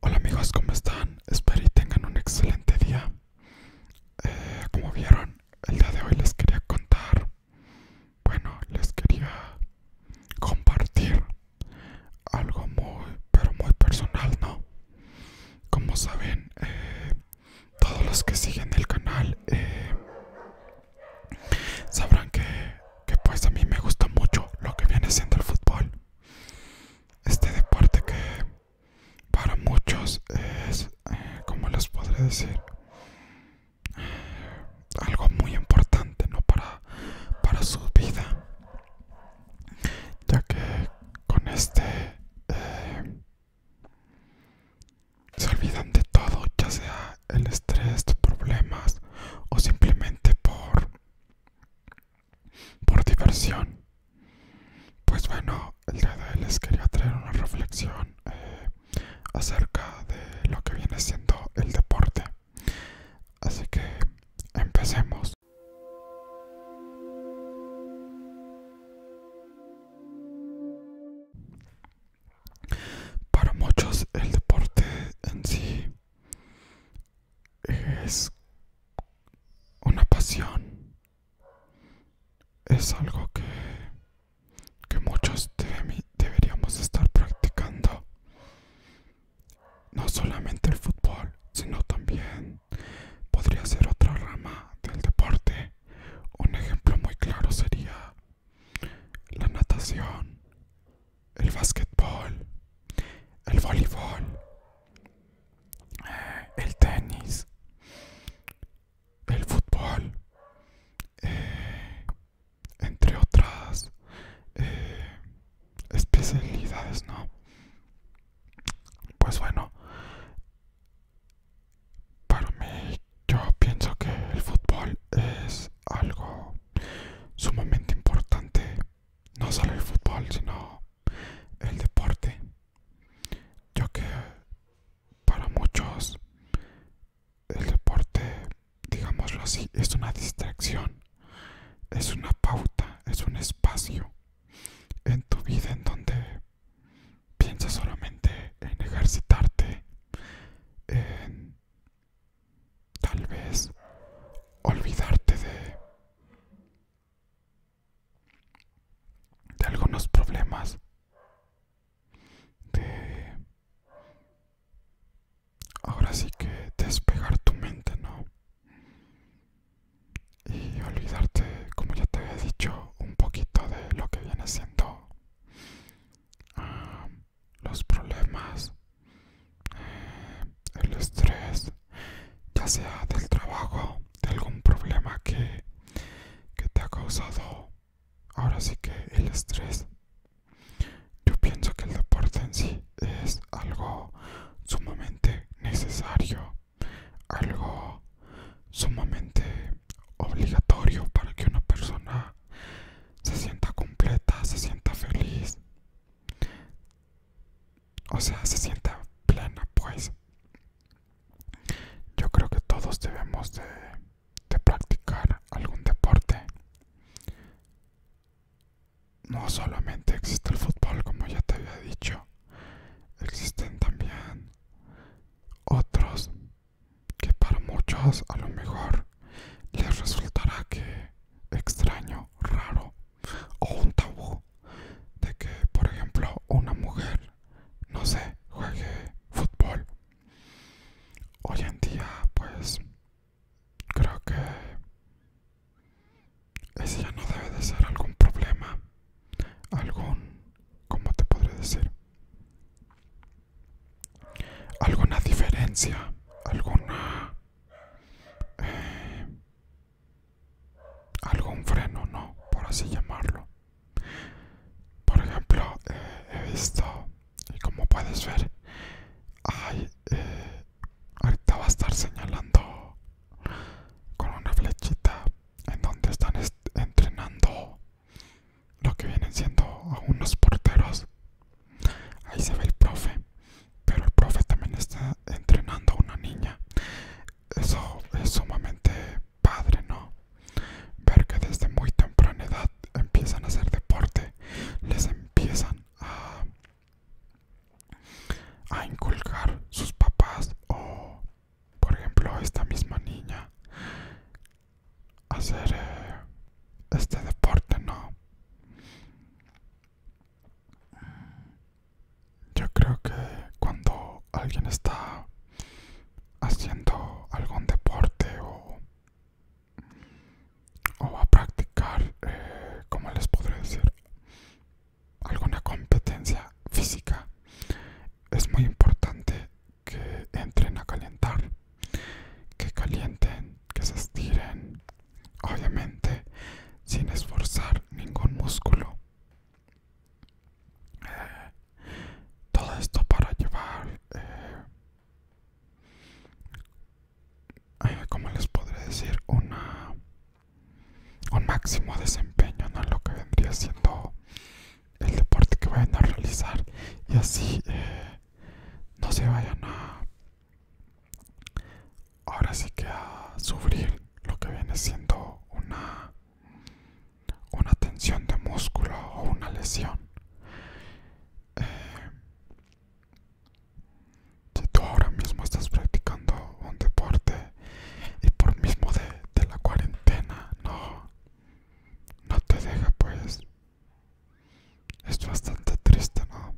Hola amigos, ¿cómo están? Espero y tengan un excelente día. Eh, como vieron, el día de hoy les quería contar, bueno, les quería compartir algo muy, pero muy personal, ¿no? Como saben, eh, todos los que siguen el canal eh, sabrán que que pues a mí me gusta mucho lo que viene siendo el fútbol. Este deporte que para muchos es, eh, como les podré decir, eh, algo muy importante ¿no? para, para su vida. Ya que con este eh, se olvidan de todo, ya sea el estrés, tus problemas o simplemente por por diversión. Pues bueno, el día de hoy les quería traer una reflexión eh, acerca de lo que viene siendo el deporte. Así que empecemos. Para muchos el deporte en sí es una pasión. Es algo que, que muchos deberíamos estar practicando. No solamente el fútbol, sino también podría ser otra rama del deporte. Un ejemplo muy claro sería la natación, el basquetbol, el voleibol, eh, el tenis, el fútbol, eh, entre otras eh, especialidades, ¿no? Pues bueno, para mí yo pienso que el fútbol es algo sumamente importante, no solo el fútbol, sino el deporte, yo que para muchos el deporte, digámoslo así, es una distracción, es una pauta, es un espacio en tu vida en donde piensas solamente en ejercitarte, en Tal vez olvidarte de... algunos problemas. De... Ahora sí que despegar tu mente, ¿no? Y olvidarte, como ya te había dicho, un poquito de lo que viene siendo... Ah, los problemas, eh, el estrés, ya sea del trabajo, de algún problema que, que te ha causado ahora sí que el estrés. Yo pienso que el deporte en sí es algo sumamente necesario, algo sumamente obligatorio para que una persona se sienta completa, se sienta feliz. O sea, se sienta plena, pues. Yo creo que todos debemos de, de practicar algún deporte. No solamente existe el fútbol, como ya te había dicho, existen también otros que para muchos a lo mejor les resultará que extraño, raro o un tabú de que por ejemplo una mujer no sé juegue fútbol hoy en día pues creo que ese ya no debe de ser algún problema algún como te podré decir alguna diferencia, alguna... Eh, algún freno, ¿no? Por así llamarlo. Por ejemplo, eh, he visto, y como puedes ver, hay, eh, ahorita va a estar señalando con una flechita en donde están entrenando lo que vienen siendo unos porteros. Ahí se ve el profe, pero el profe también está entrenando a una niña. Eso es sumamente padre, ¿no? Ver que desde muy temprana edad empiezan a hacer deporte, les empiezan a, a inculcar sus papás o por ejemplo, esta misma niña hacer eh, este deporte, ¿no? Yo creo que cuando alguien está haciendo algún deporte o, o va a practicar, eh, como les podría decir, alguna competencia física, es muy importante que entren a calentar, que calienten, que se estiren, obviamente sin esforzar ningún músculo. Eh, todo esto para llevar, eh, eh, como les podré decir, una un máximo desempeño, ¿no? Lo que vendría siendo el deporte que vayan a realizar y así eh, no se vayan a ahora sí que a sufrir lo que viene siendo una una tensión de músculo o una lesión eh, si tú ahora mismo estás practicando un deporte y por mismo de, la cuarentena no no te deja pues es bastante triste no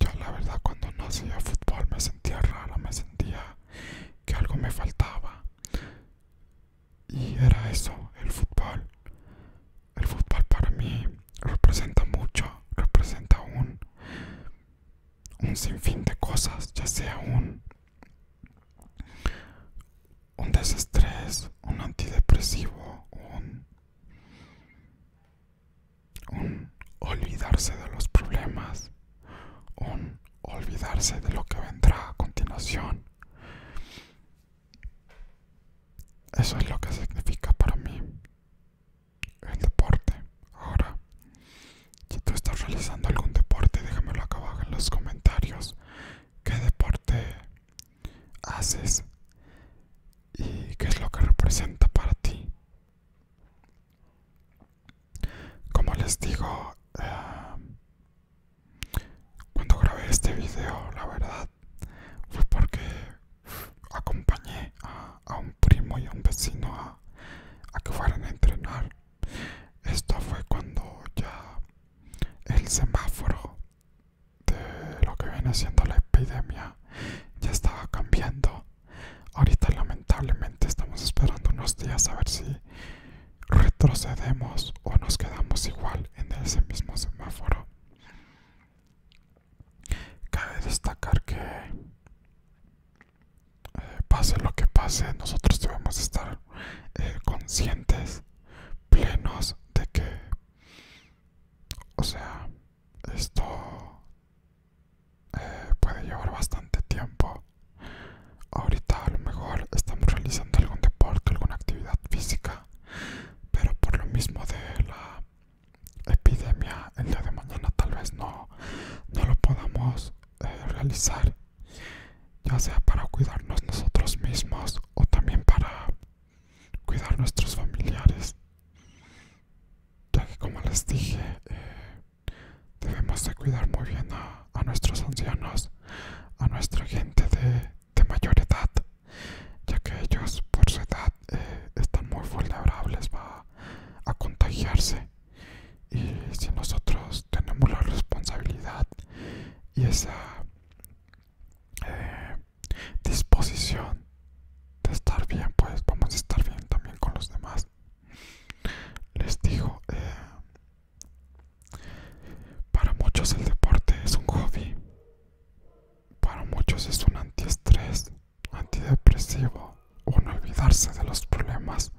yo la verdad cuando nací hacía fútbol me sentía rara me sentía que algo me faltaba y era eso el fútbol el fútbol para mí representa mucho representa un un sinfín de cosas ya sea un un desestrés, un antidepresivo, un, un olvidarse de los problemas, un olvidarse de lo que vendrá a continuación. Eso es lo que significa para mí el deporte. Ahora, si tú estás realizando algún deporte, déjamelo acá abajo en los comentarios. ¿Qué deporte haces? ¿Y qué es lo que representa para ti? Como les digo, em, cuando grabé este video, la verdad, fue porque acompañé a, un primo y a un vecino a que fueran a entrenar esto fue cuando ya el semáforo de lo que viene siendo la epidemia ya estaba cambiando. Ahorita lamentablemente estamos esperando unos días a ver si retrocedemos o nos quedamos igual en ese mismo semáforo. Cabe destacar que eh, pase lo que pase, nosotros debemos estar eh, conscientes, plenos de que, o sea, esto eh, puede llevar bastante tiempo. Ahorita a lo mejor estamos realizando algún deporte, alguna actividad física, pero por lo mismo de la epidemia el día de mañana tal vez no, no lo podamos eh, realizar, ya sea para cuidarnos nosotros mismos o también para cuidar nuestros familiares, ya que como les dije, eh, debemos de cuidar muy bien a, nuestros ancianos, a nuestra gente de, mayor edad, ya que ellos por su edad eh, están muy vulnerables a contagiarse y si nosotros tenemos la responsabilidad y esa eh, disposición de estar bien, pues vamos a estar bien también con los demás. Les digo, eh, para muchos el deporte es un hobby, para muchos es un antiestrés, antidepresivo no olvidarse de los problemas,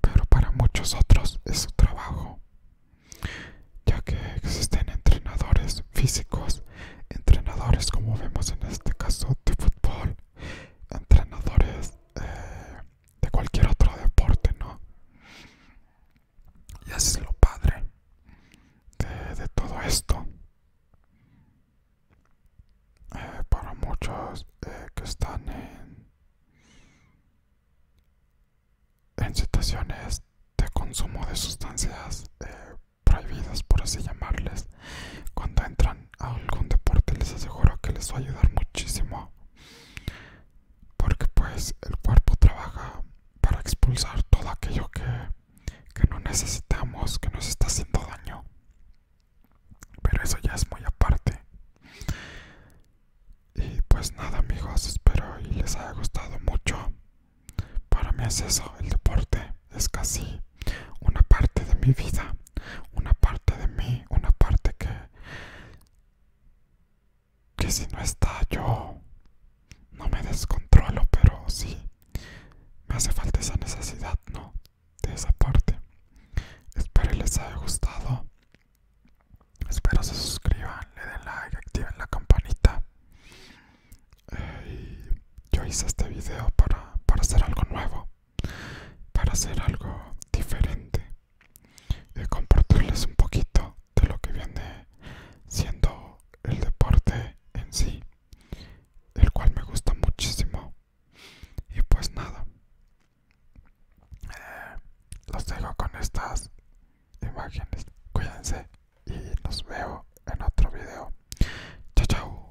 pero para muchos otros es su trabajo, ya que existen entrenadores físicos, entrenadores como vemos en este caso de fútbol, entrenadores eh, de cualquier otro deporte, ¿no? Y así es lo padre de todo esto. Eh, para muchos eh, que están en, situaciones de consumo de sustancias eh, prohibidas, por así llamarles, cuando entran a algún deporte les aseguro que les va a ayudar muchísimo, porque pues el cuerpo trabaja para expulsar todo aquello que que no necesitamos, que nos está haciendo daño. Pero eso ya es muy aparte. Y pues nada amigos, espero y les haya gustado mucho. Para mí es eso, el deporte es casi una parte de mi vida, una parte de mí, una parte que que si no está yo no me descontrolo, pero sí me hace falta esa necesidad, ¿no? De esa parte. Espero les haya gustado. Espero se suscriban, le den like, activen la campanita. Eh, yo hice este video para, para hacer algo nuevo, para hacer algo diferente y compartirles un poquito de lo que viene siendo el deporte en sí el cual me gusta muchísimo y pues nada eh, los dejo con estas imágenes cuídense y nos veo en otro video chao chao